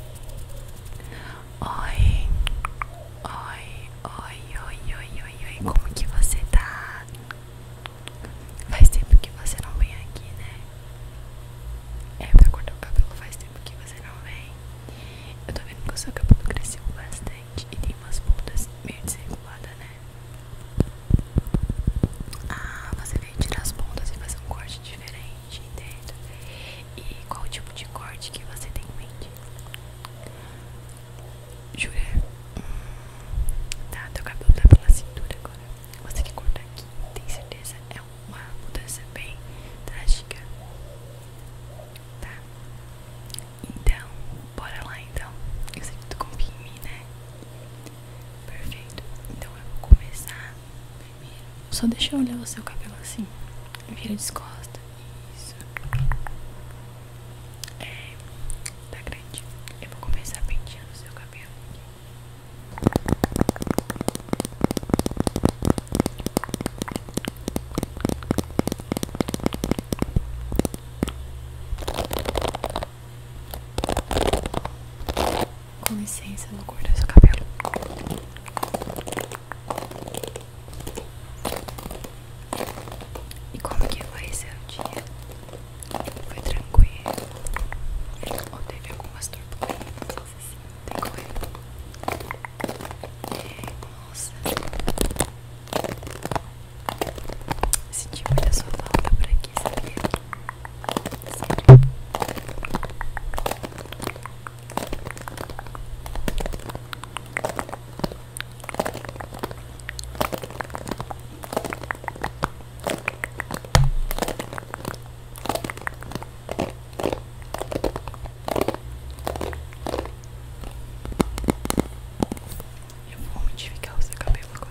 Oi, oi, oi, oi, oi, oi, oi, como que você tá? Faz tempo que você não vem aqui, né? É, pra cortar o cabelo faz tempo que você não vem. Eu tô vendo que o seu cabelo cresceu bastante e tem umas pontas meio desreguladas, né? Ah, você veio tirar as pontas e fazer um corte diferente, entendo e qual tipo de corte que você tem em mente. Jure, hum, Tá, teu cabelo tá pela cintura agora. Você que cortar aqui, tem certeza? É uma mudança bem drástica. Tá? Então, bora lá então. Eu sei que tu confia né? Perfeito. Então eu vou começar só deixa eu olhar o seu cabelo assim. Vira descosta. Isso. É. Tá grande. Eu vou começar penteando o seu cabelo aqui. Com licença, vou do seu cabelo. E como que foi seu dia? Foi tranquilo? Ou teve algumas turbulências assim? Tem coisa? Nossa. Senti muita sua volta por aqui, sabia? Sério. Eu vou modificar o seu cabelo agora.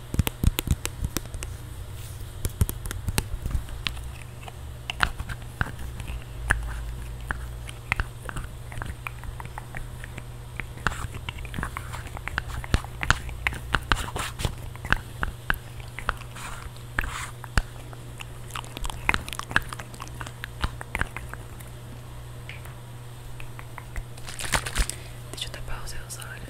Deixa eu tapar os seus olhos.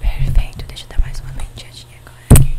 Perfeito, deixa dar mais uma penteadinha agora aqui.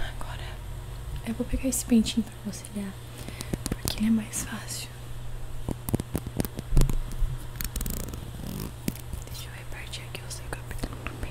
Agora eu vou pegar esse pentinho para auxiliar porque ele é mais fácil. Deixa eu repartir aqui o seu cabelo no bem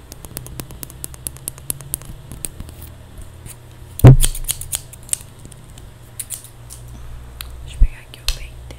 Deixa eu pegar aqui o painter.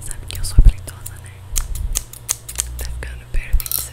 Sabe que eu sou preguiçosa, né? Tá ficando perfeito essa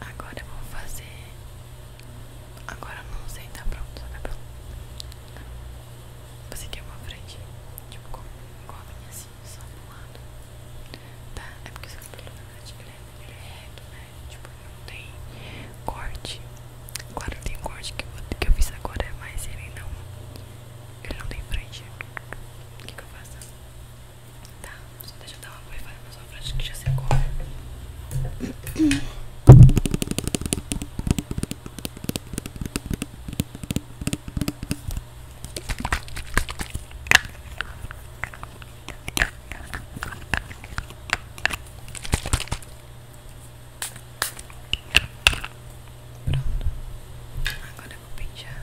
Agora eu vou fazer. Agora eu não sei, tá pronto, tá pronto. Você quer uma frente, tipo com, com a minha assim, só pro lado. Tá? É porque seu cabelo na verdade ele é, ele é reto, né? Tipo, não tem corte. agora não tem corte que eu, que eu fiz agora, mas ele não. Ele não tem frente. O que eu faço? Tá, só deixa eu dar uma para na sua frente que já secou. Pronto, agora eu vou pentear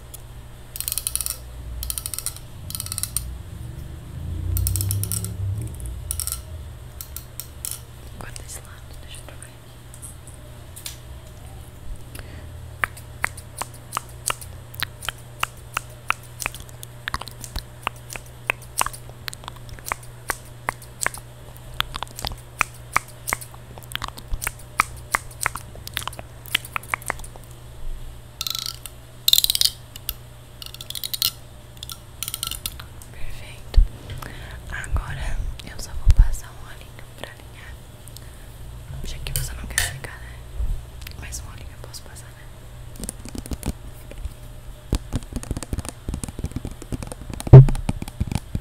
Guarda esse lado, deixa eu trocar aqui. Perfeito. Agora eu só vou passar um olhinho pra alinhar. Já que você não quer secar, né? Mais um olhinho eu posso passar, né? Perfeito.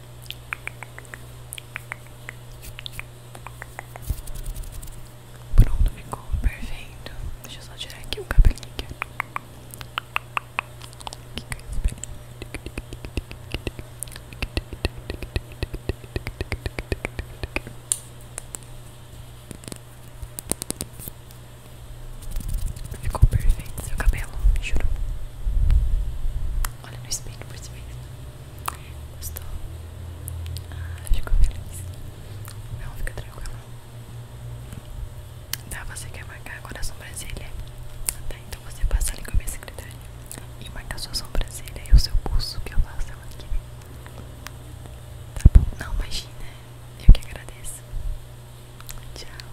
Pronto, ficou perfeito. Deixa eu só tirar aqui o cabelinho. Ficou perfeito seu cabelo, juro. Olha no espelho por si mesmo. Gostou? Ah, ficou feliz? Não, fica tranquilo. Tá, você quer marcar agora a sobrancelha? Tá, então você passa ali com a minha secretária e marca a sua sobrancelha e o seu pulso que eu faço Tá bom? Não, imagina. Eu que agradeço. Tchau.